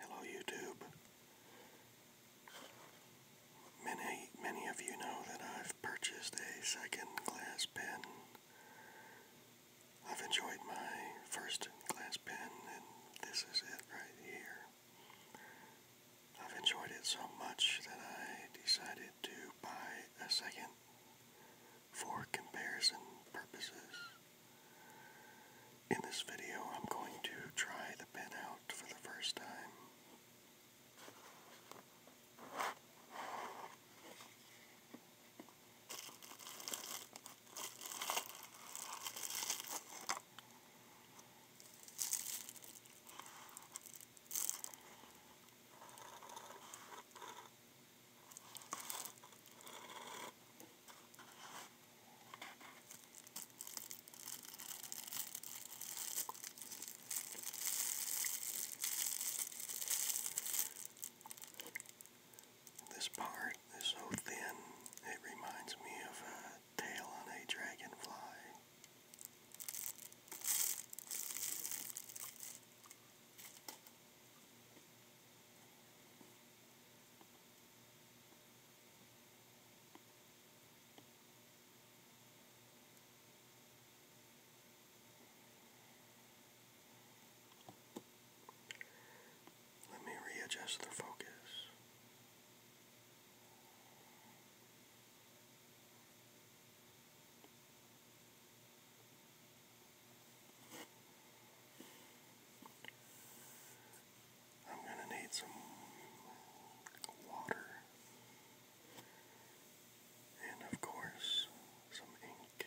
Hello YouTube. Many, many of you know that I've purchased a second glass pen. I've enjoyed my first glass pen and this is it right here. I've enjoyed it so much that I decided to buy a second for comparison purposes. In this video, I'm going to try the pen out for the first time. This part is so thin, it reminds me of a tail on a dragonfly. Let me readjust their focus. I'm going to need some water and, of course, some ink.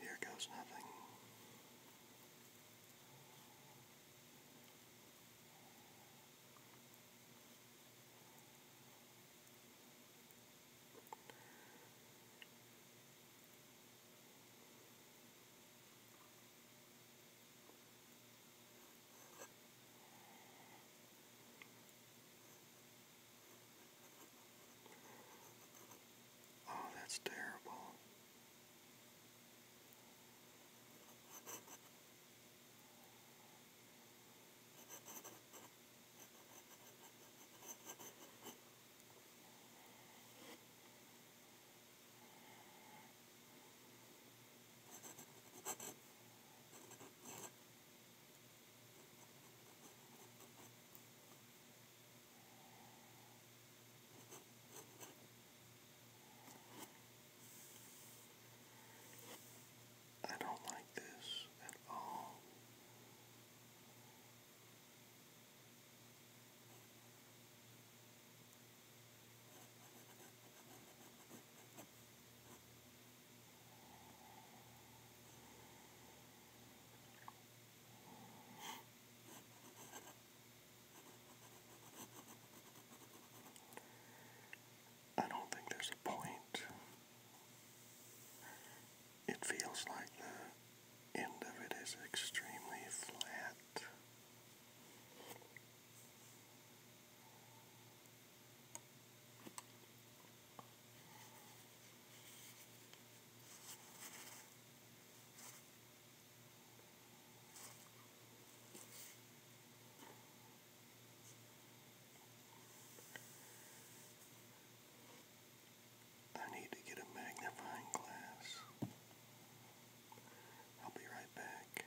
Here goes nothing. Oh, that's terrible. I don't like this at all. I don't think there's a point. It feels like the end of it is extremely flat. I need to get a magnifying glass. I'll be right back.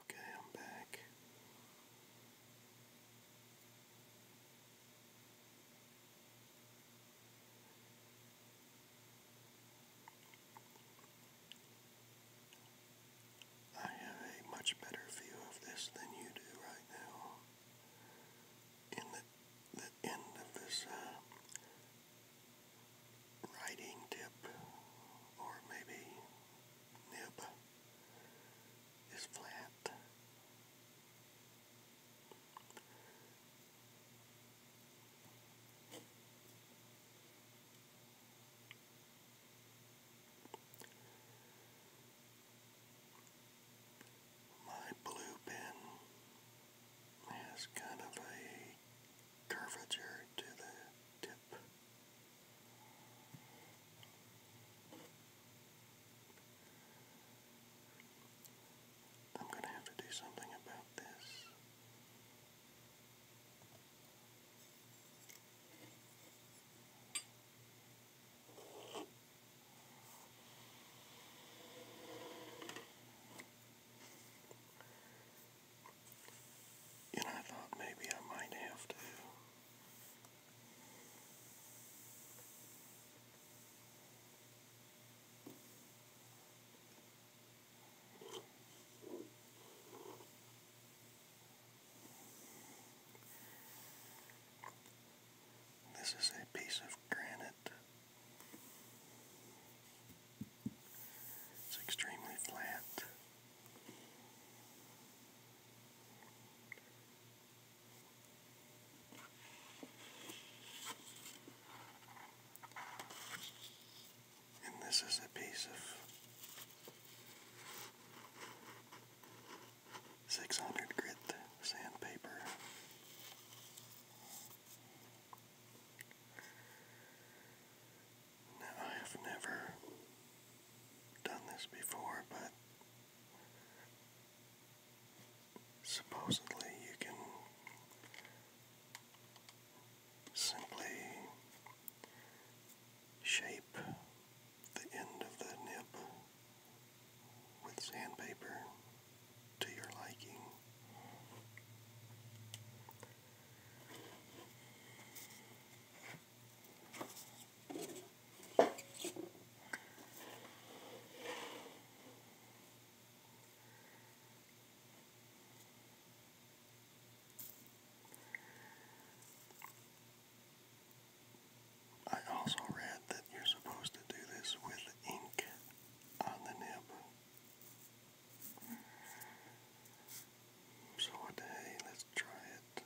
Okay, I'm back. I have a much better view of this than you do right now. In the, the end of this uh, writing tip, or maybe nib, is flat. My blue pen has kind of a curvature to the tip. I'm going to have to do something about this. And I thought maybe I might have to this is a piece of granite. It's extremely flat. And this is a piece of 600 grit sandpaper. Now, I have never done this before, but Supposedly, you can simply shape the end of the nib with sandpaper to your liking. I also read that you're supposed to do this with ink on the nib. So what try it.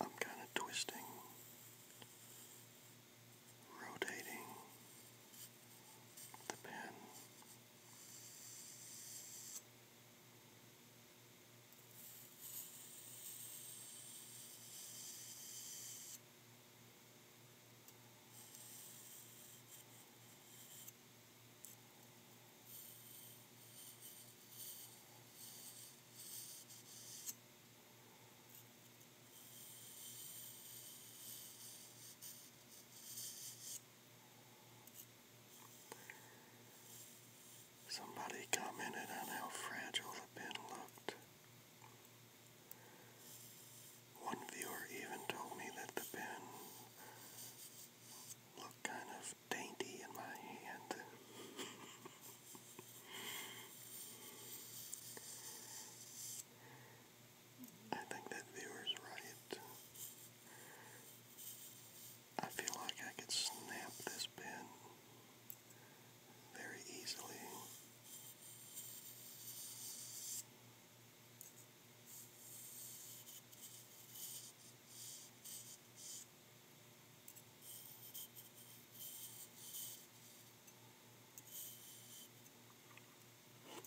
I'm kind of twisting, rotating the pen. Somebody commented on how fragile the pin looked. One viewer even told me that the pen looked kind of dainty in my hand. I think that viewer's right. I feel like I could snap this pen very easily. Let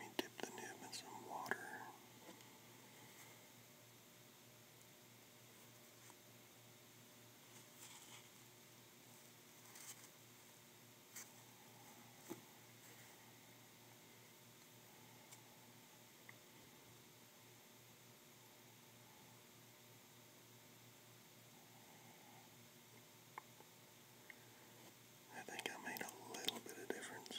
me dip the nib in some water. I think I made a little bit of difference.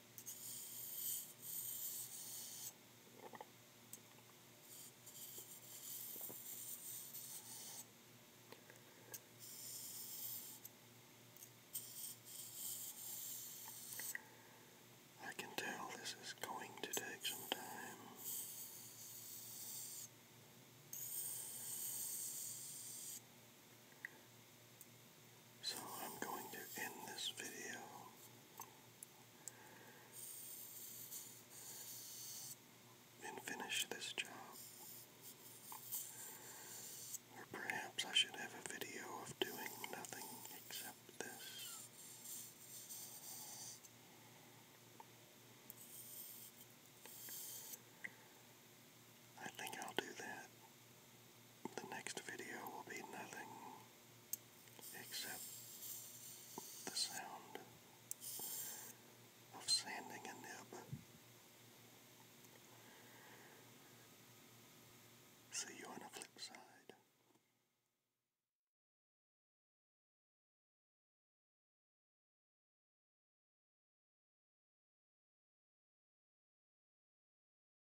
I can tell this is going to take some time. So I'm going to end this video. And finish this job. Or perhaps I should have a video of doing nothing except this. I think I'll do that the next video will be nothing except the sound of sanding a nib. See you on the flip side.